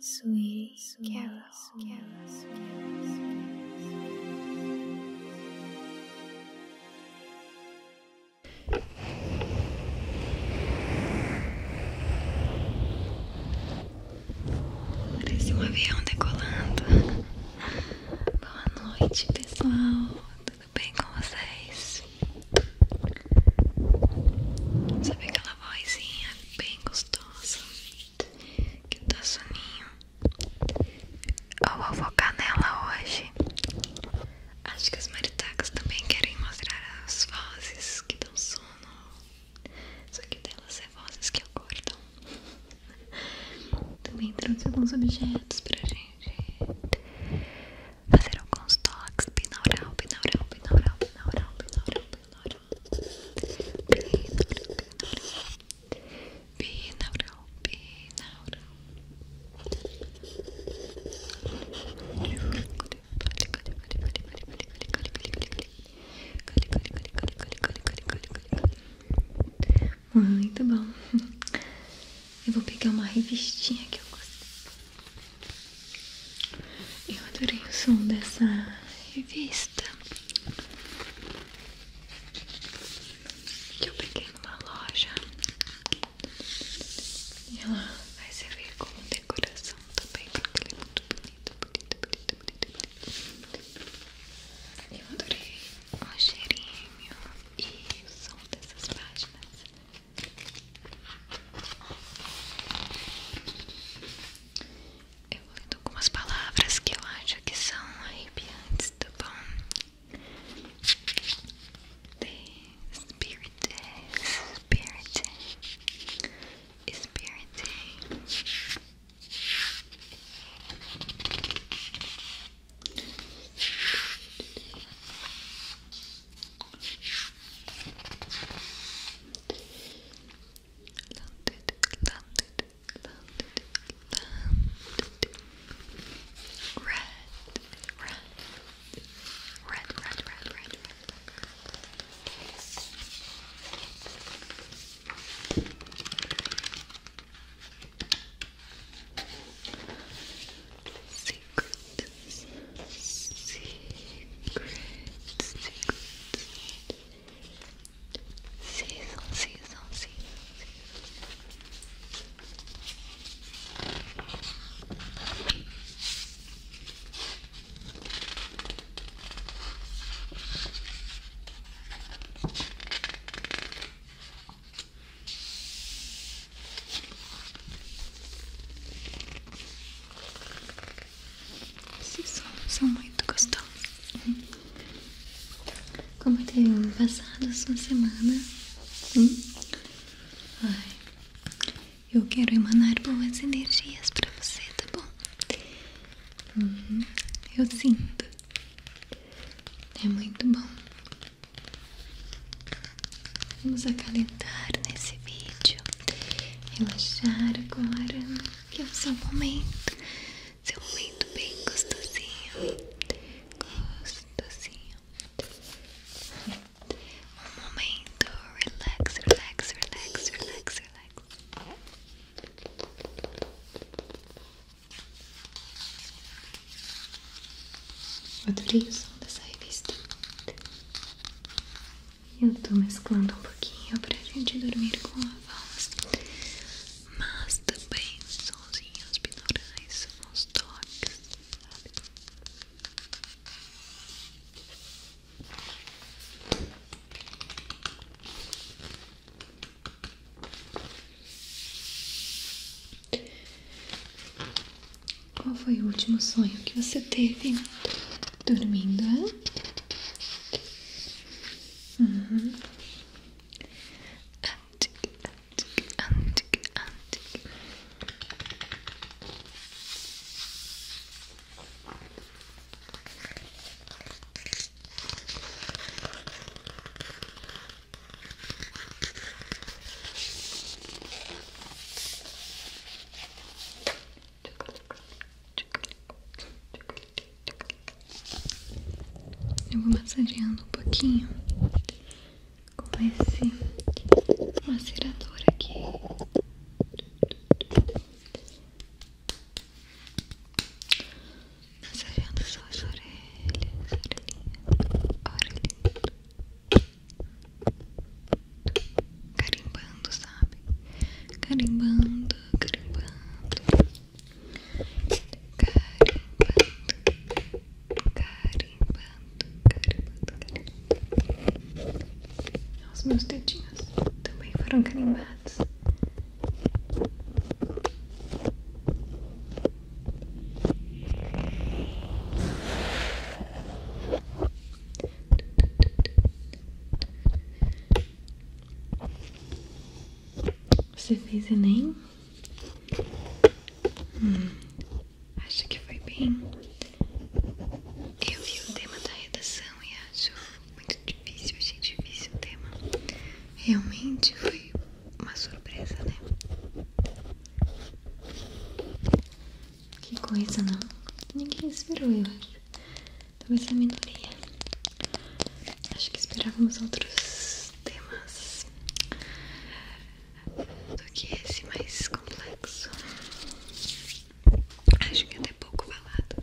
Sweet, sweet Carol. Carol, Carol, Parece um avião decolando. Boa noite, pessoal. Tudo bem com vocês? Sabe aquela vozinha bem gostosa que dá soninho. Eu vou focar nela hoje. Acho que as maritacas também querem mostrar as vozes que dão sono. Só que delas é vozes que acordam. Também trouxe alguns objetos pra gente fazer alguns toques. Binaural, binaural, binaural, binaural, binaural, binaural binaural, binaural. Muito bom. Eu vou pegar uma revistinha que eu gostei. Eu adorei o som dessa revista que eu peguei numa loja e ela vai servir como decoração também porque ela é muito bonito bonita, bonito bonita, bonita. Eu adorei o cheirinho e o som dessas páginas. Eu vou ler algumas palavras que eu acho que são arrepiantes, tá bom? The Spirit Spirit Spirit landed, landed, landed, landed red, red, red, red, red, red, red. C secrets, secrets, season, season, season. Esses sons são muito gostosos. Como tem passado a semana? Hum? eu quero emanar boas energias pra você, tá bom? Uhum. eu sinto. É muito bom. Vamos acalentar nesse vídeo, relaxar agora, que é o seu momento, seu momento bem gostosinho, gostosinho. Um momento, relax, relax, relax, relax, relax. Adorei o som dessa revista. Eu tô mesclando um pouquinho pra gente dormir com a voz, mas também sonzinhos binaurais, sons toques, qual foi o último sonho que você teve dormindo? Uhum. Antique, antique, antique, eu vou massageando um pouquinho com esse macerador aqui. Massageando suas orelhas, orelhinha. orelhinhas, Carimbando, sabe? Carimbando, carimbando. Carimbando, carimbando, carimbando. Os meus dedinhos também foram carimbados. Você fez Enem? Hum, acho que foi bem. Eu vi o tema da redação e acho muito difícil, achei difícil o tema. Realmente foi uma surpresa, né? Que coisa, não? Ninguém esperou, eu acho. Talvez a minoria. Acho que esperávamos outros temas do que esse mais complexo. Acho que até pouco falado.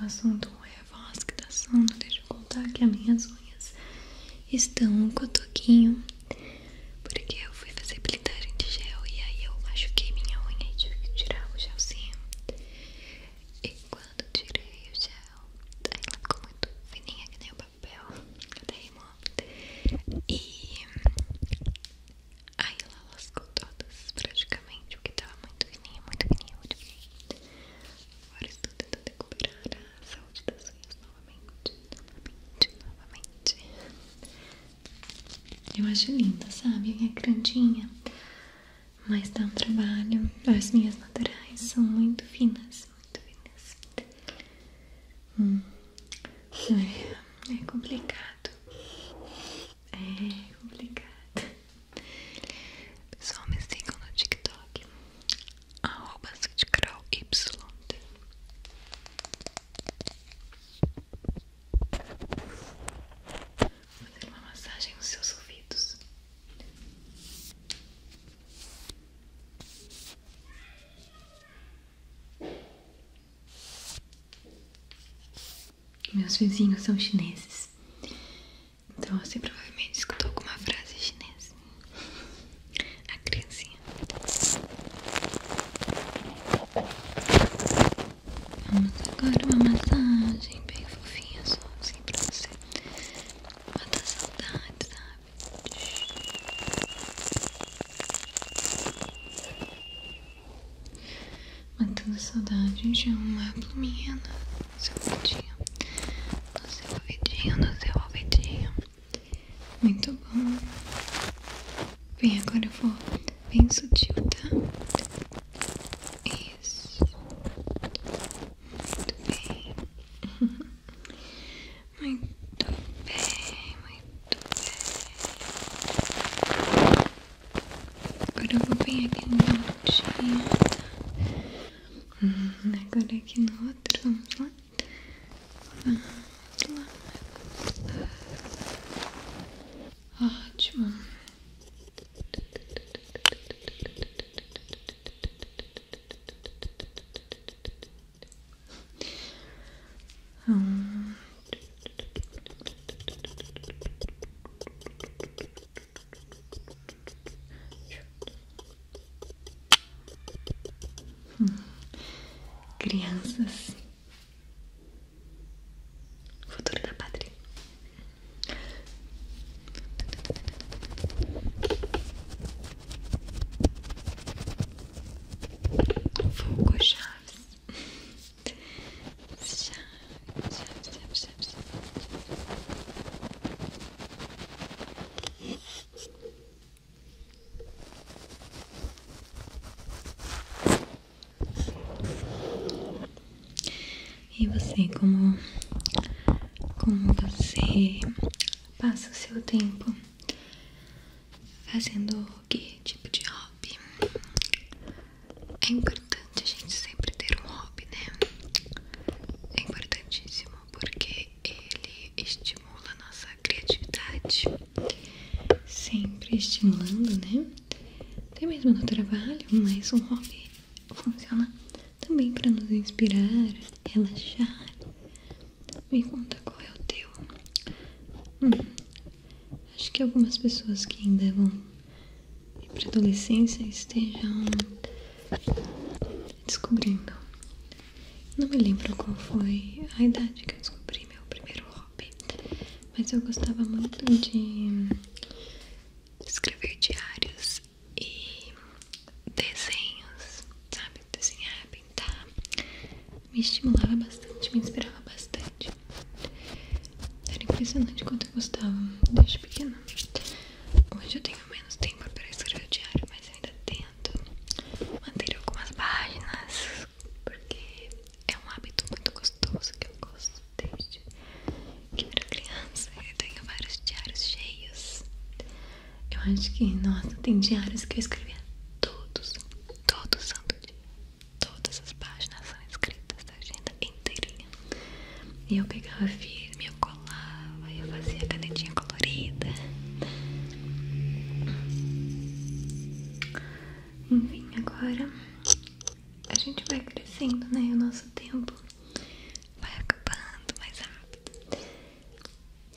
O assunto é a voz que tá sono. Deixa eu contar que as minhas unhas estão um toquinho Porque eu fui fazer blindagem de gel e aí eu machuquei minha unha e tive que tirar o gelzinho. E quando tirei o gel, aí ela ficou muito fininha que nem o papel. Até rimou. E aí ela lascou todas praticamente, porque tava muito fininha, muito fininha, muito fininha. Agora estou é tentando recuperar a saúde das tá assim, unhas novamente, novamente, novamente. Eu acho linda, sabe? minha é grandinha, mas dá um trabalho. As minhas naturais são muito finas, muito finas. Hum. É, é complicado. É complicado. Pessoal, me sigam no TikTok Arroba Y Vou fazer uma massagem nos seus ouvidos meus vizinhos são chineses então você provavelmente escutou alguma frase chinesa. A criancinha. Vamos agora uma massagem bem fofinha só assim pra você matar saudade, sabe? matando saudade de uma pluminha no seu ouvidinho, no seu ouvidinho, no seu ouvidinho. Muito bom. Bem, agora eu vou bem sutil, tá? Isso. Muito bem. muito bem, muito bem. Agora eu vou bem aqui no outro uhum, agora aqui no outro, vamos lá. Vamos lá. Ótimo. Hum. Hum. Crianças, futuro da pátria. Fogo Chaves. Puxar, puxar, puxar, puxar, puxar. E você, como, como você passa o seu tempo fazendo que tipo de hobby? É importante a gente sempre ter um hobby, né? É importantíssimo porque ele estimula a nossa criatividade, sempre estimulando, né? Até mesmo no trabalho, mas um hobby funciona também para nos inspirar, relaxar. Me conta qual é o teu. Hum, acho que algumas pessoas que ainda vão e pré-adolescência estejam descobrindo. Não me lembro qual foi a idade que eu descobri meu primeiro hobby, mas eu gostava muito de escrever diários e desenhos, sabe? Desenhar, pintar. Me estimulava bastante, me inspirava bastante. Era impressionante quanto eu gostava desde pequena. Hoje eu tenho menos tempo para escrever o diário, mas ainda tento manter algumas páginas, porque é um hábito muito gostoso que eu gosto desde que era criança. Eu tenho vários diários cheios. Eu acho que, nossa, tem diários que eu escrevia todos, todo santo dia. Todas as páginas são escritas da agenda inteirinha. E eu pegava firme, eu colava, eu fazia canetinha colorida. Enfim, agora a gente vai crescendo, né? O nosso tempo vai acabando mais rápido. É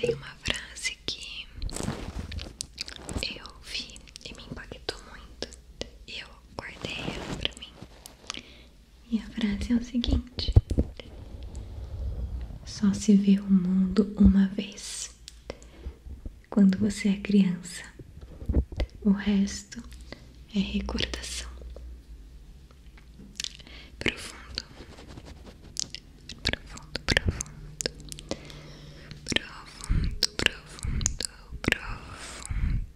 tem uma frase que eu vi e me impactou muito. E eu guardei ela pra mim. E a frase é o seguinte: Só se vê o mundo uma vez. Quando você é criança, o resto é recordação. profundo, profundo, profundo, profundo, profundo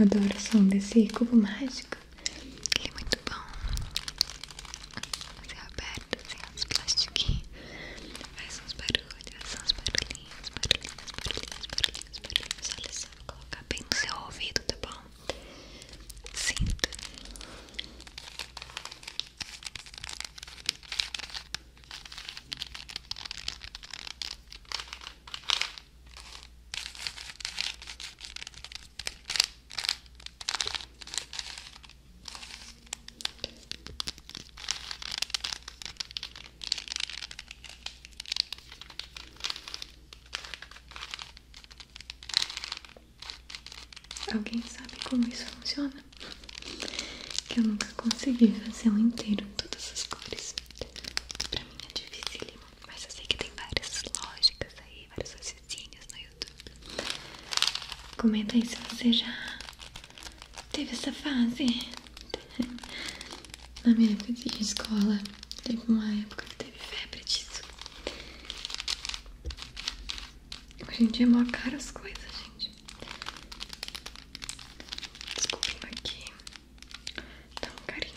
Eu adoro som desse cubo mágico. Ele é muito bom perto, assim, as plastiquinhas Faz uns barulhos, uns barulhinhos, barulhinhos, barulhinhos, barulhinhos, barulhinhos Olha só, vou colocar bem no seu ouvido, tá bom? Sinta Agora Alguém sabe como isso funciona? Que eu nunca consegui fazer um inteiro todas as cores. Pra mim é dificílimo, mas eu sei que tem várias lógicas aí, várias raciocínios no né? Comenta aí se você já teve essa fase. Na minha época de escola, teve uma época que teve febre disso. A gente é mó caro as coisas, gente. Desculpa aqui. Tá um carinho.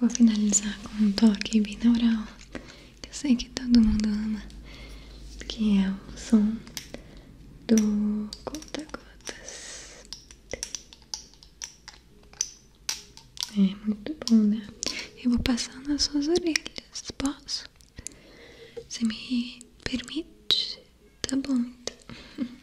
vou finalizar com um toque binaural que eu sei que todo mundo ama, que é o som do conta-gotas. É muito bom, né? Eu vou passar nas suas orelhas, posso? Você me permite? Tá bom, então.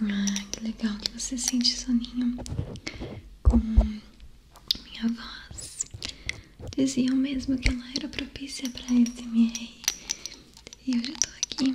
Ah, que legal que você sente soninho com minha voz. Diziam mesmo que ela era propícia para SMR. E hoje eu tô aqui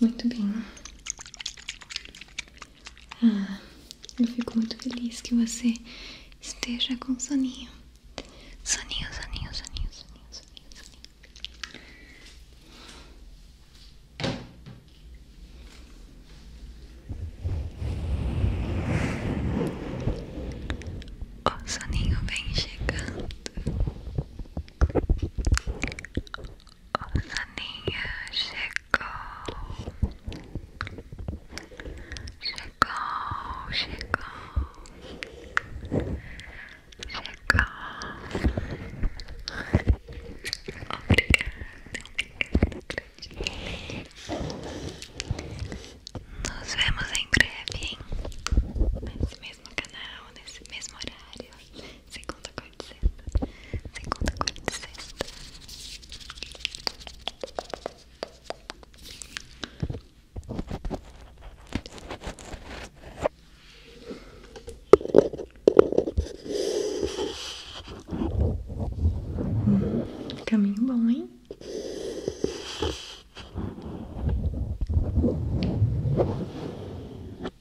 Muito bem. Ah, eu fico muito feliz que você esteja com soninho. Soninho, soninho, soninho, soninho, soninho, soninho. O soninho vem chegando. O soninho chegou. Chegou, chegou. Chegou. Obrigada. Nos vemos em breve, hein? no canal, nesse mesmo horário. Segunda, quarta e Segunda, quarta e caminho bom, hein?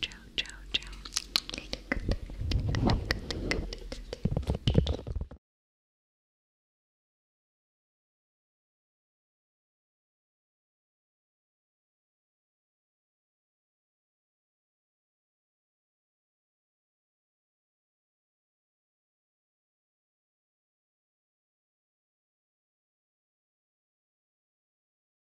ciao, ciao, ciao. Good, good, good, good.